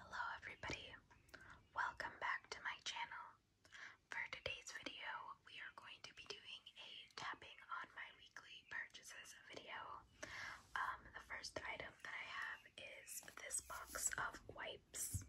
Hello everybody, welcome back to my channel. For today's video, we are going to be doing a tapping on my weekly purchases video. Um, the first item that I have is this box of wipes.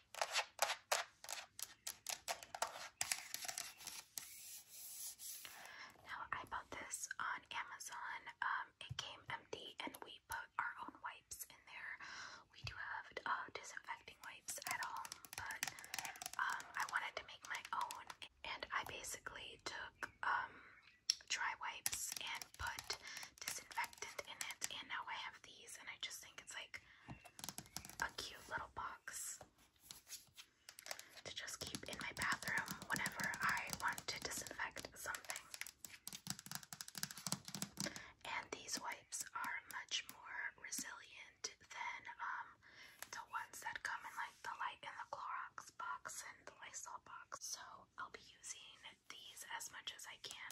Now, I bought this on Amazon. Um, it came empty, and we put our own wipes in there. We do have uh, disinfecting wipes at home, but um, I wanted to make my own, and I basically took um, dry wipes and put disinfectant in it. And now I have these, and I just think it's like a cute little box to just keep in my bathroom whenever I want to disinfect something. And these wipes are much more resilient than um, the ones that come in like the light in the Clorox box and the Lysol box. So I'll be using these as much as I can.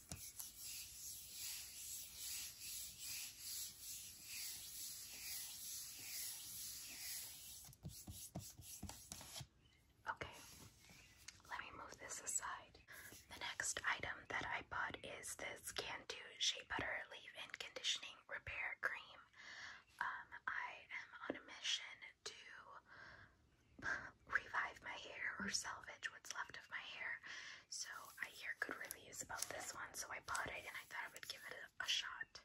Okay, let me move this aside. The next item that I bought is this Cantu Shea Butter Leave In Conditioning Repair Cream. Um, I am on a mission to revive my hair or salvage what's left of my hair. So I hear good reviews about this one, so I bought it and I thought I would give it a, shot.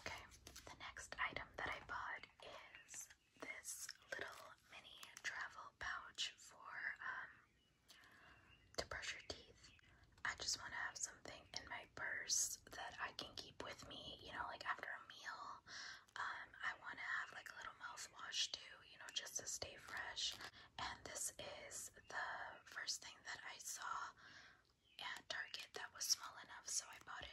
Okay, the next item that I bought is this little mini travel pouch for um, to brush your teeth. I just want to have something in my purse that I can keep with me, you know, like after a meal. Um, I want to have like a little mouthwash too, you know, just to stay fresh. And this is the first thing that I saw at Target that was small enough, so I bought it.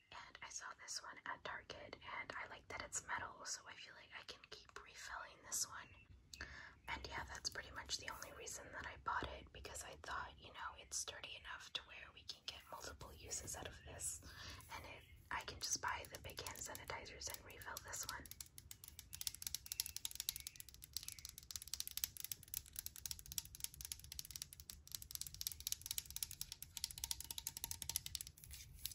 and I saw this one at Target and I like that it's metal so I feel like I can keep refilling this one. And yeah, that's pretty much the only reason that I bought it because I thought, you know, it's sturdy enough to where we can get multiple uses out of this and it I can just buy the big hand sanitizers and refill this one.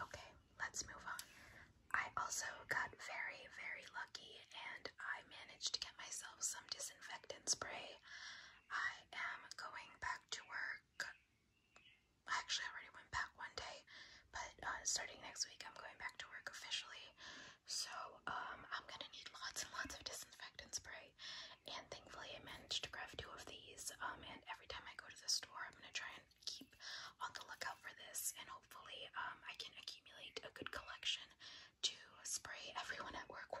Okay, let's move on. I also got very, very lucky and I managed to get myself some disinfectant spray. I am going back to work. I Actually, already went back one day, but uh, starting next week, I'm going back to work officially. So, um, I'm gonna need lots and lots of disinfectant spray. And thankfully, I managed to grab two of these, um, and every time I go to the store, I'm gonna try and keep on the lookout for this, and hopefully, um, I can accumulate a good collection to spray everyone at work with.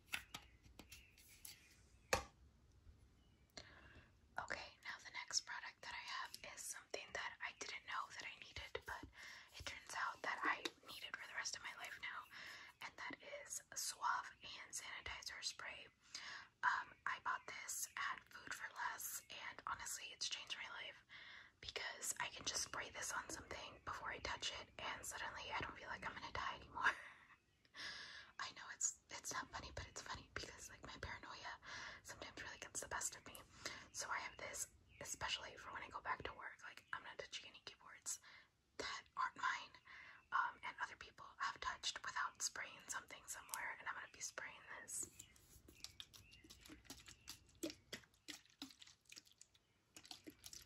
Okay, now the next product that I have is something that I didn't know that I needed, but it turns out that I need it for the rest of my life now, and that is Suave Hand Sanitizer Spray. Um, I bought this at Food for Less, and honestly, it's changed my life because I can just spray this on something before I touch it, and suddenly I don't feel like I'm gonna die anymore. I know it's it's not funny, but it's funny because like my paranoia sometimes really gets the best of me. So I have this, especially for when I go back to work. Like I'm not touching any keyboards that aren't mine, um, and other people have touched without spraying something somewhere, and I'm gonna be spraying this.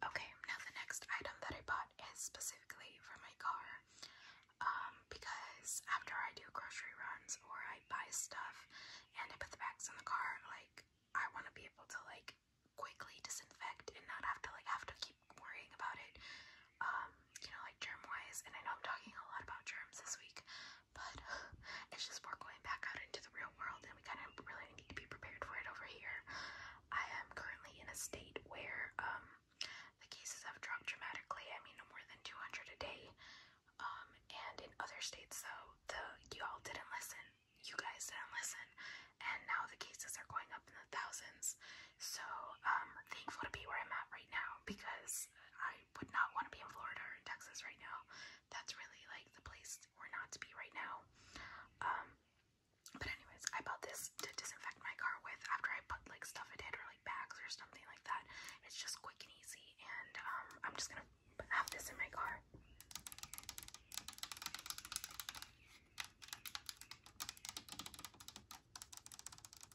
Okay, now the next item that I bought is specifically for my car. Um, because after I do grocery runs or I buy stuff and I put the bags in the car, like I want to be able to like quickly disinfect and not have to like have to keep worrying about it. Um, you know, like germ-wise, and I know I'm talking a lot about germs this week, but it's just we're going back out into the real world, and we kind of really need to be prepared for it over here. I am currently in a state where um, the cases have dropped dramatically. I mean, no more than 200 a day. Um, and in other states, though, the you all didn't listen. You guys didn't listen, and now the cases are going up in the thousands. So, um, thankful to be where I'm at right now because I I would not want to be in Florida or in Texas right now. That's really like the place we're not to be right now. Um, but anyways, I bought this to disinfect my car with after I put like stuff in it or like bags or something like that. It's just quick and easy, and um, I'm just gonna have this in my car.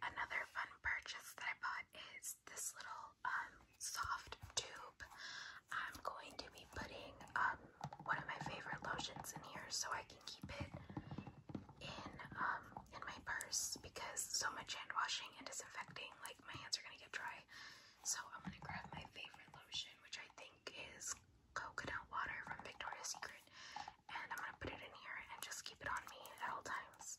Another fun purchase that I bought is this little um, soft tube. I'm going to be putting um, one of my favorite lotions in here so I can keep it in um, in my purse because so much hand washing and disinfecting, like my hands are gonna get dry. So I'm gonna grab my favorite lotion, which I think is coconut water from Victoria's Secret, and I'm gonna put it in here and just keep it on me at all times.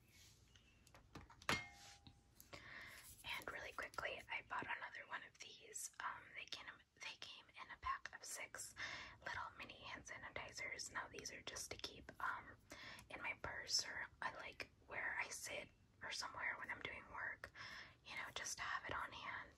And really quickly, I bought another one of these. Um, they came they came in a pack of six little mini hand sanitizers. Now these are just to keep um in my purse or I like where I sit or somewhere when I'm doing work. You know, just to have it on hand.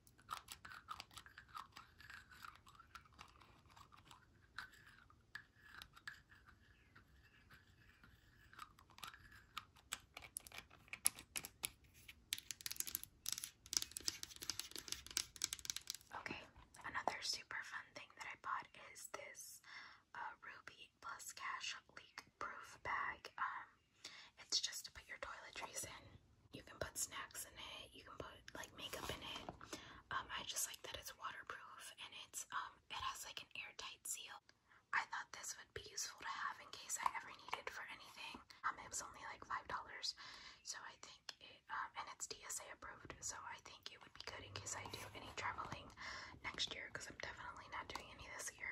Okay, another super fun thing that I bought is this uh, Ruby Plus Cash leak proof bag. Um, it's just to put your toiletries in. You can put snacks in it. You can put like makeup in it. Um, I just like that it's waterproof and it's um it has like an airtight seal. I thought this would be useful to have in case I ever needed for anything. Um, it was only like five dollars, so I think it um and it's DSA approved, so I think it would be good in case I do any traveling next year because I'm definitely not doing any this year.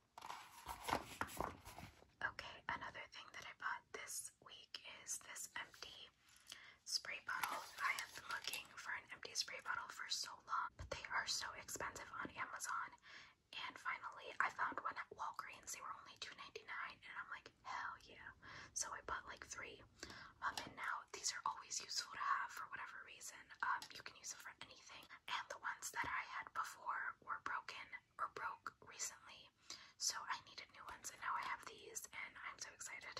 Okay, another thing that I bought this week is this empty spray bottle. I have been looking for an empty spray bottle for so long, but they are so expensive on Amazon. And finally, I found one at Walgreens. They were only $2.99, and I'm like, hell yeah. So I bought like three. Um, and now these are always useful to have for whatever reason. Um, you can use it for anything and the ones that I had before were broken or broke recently, so I needed new ones, and now I have these, and I'm so excited.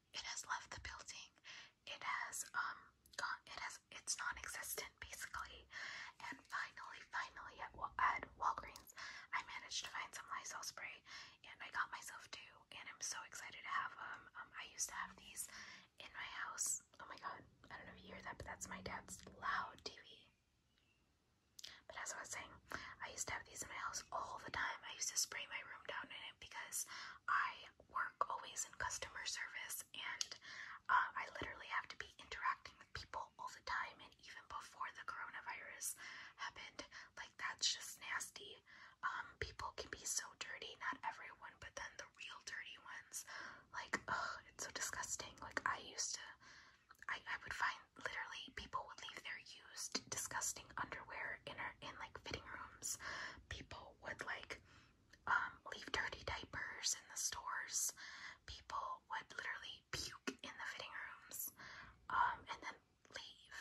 it has left the building. It has um It has it's non-existent basically. And finally, finally at at Walgreens, I managed to find some Lysol spray, and I got myself two. And I'm so excited to have them. Um, I used to have these in my house. Oh my god, I don't know if you hear that, but that's my dad's loud TV. But as I was saying, I used to have these in my house all the time. I used to spray my room down in it because I work always in customer service and uh, I literally have to be interacting with people all the time and even before the coronavirus happened, like that's just nasty. Um, people can be so dirty, not everyone, but then the real dirty ones, like, ugh, it's so disgusting. Like I used to, I, I would find literally people would leave their used, disgusting underwear in in like fitting rooms, people would like um, leave dirty diapers in the stores. People would literally puke in the fitting rooms um, and then leave.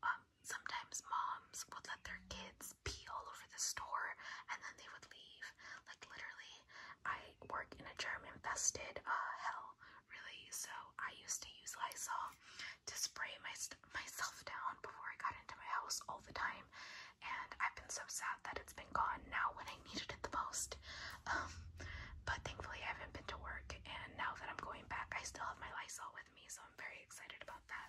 Um, sometimes moms would let their kids pee all over the store and then they would leave. Like literally, I work in a germ-infested uh, hell, really. So I used to use Lysol to spray myself down before I got into my house all the time. And I've been so sad that it's been gone now when I needed it the most. Um, but thankfully, I haven't been to work. And now that I'm going back, I still have my Lysol with me. So I'm very excited about that.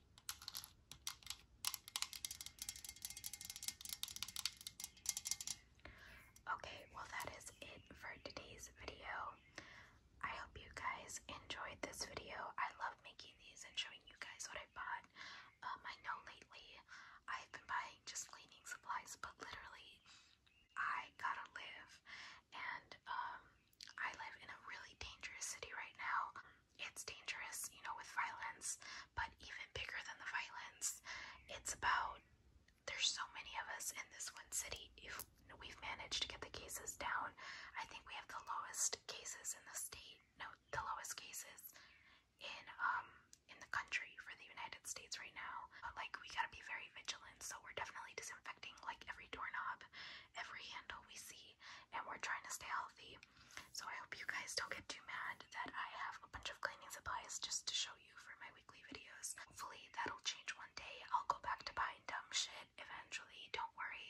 Okay, well that is it for today's video. I hope you guys enjoyed this video. I love making these and showing you guys what I bought. Um, I know lately I've been buying just cleaning supplies, but literally I gotta live and um, I live in a really dangerous city right now. It's dangerous, you know, with violence, but even bigger than the violence, it's about there's so many of us in this one city. If we've managed to get the cases down, I think we have the lowest cases in the state. No, the lowest cases in um in the country for the United States right now. But like we gotta be very vigilant, so we're definitely disinfecting like every doorknob, every handle we see, and we're trying to stay healthy. So I hope you guys don't get too mad that I have a bunch of cleaning supplies just to show you for my weekly videos. Hopefully that'll change one day. I'll go back to buying dumb shit eventually. Don't worry.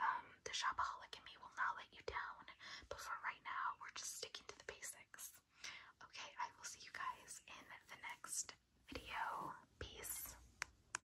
Um, the shopaholic in me will not let you down. But for right now, we're just sticking to the basics. Okay, I will see you guys in the next video. Peace.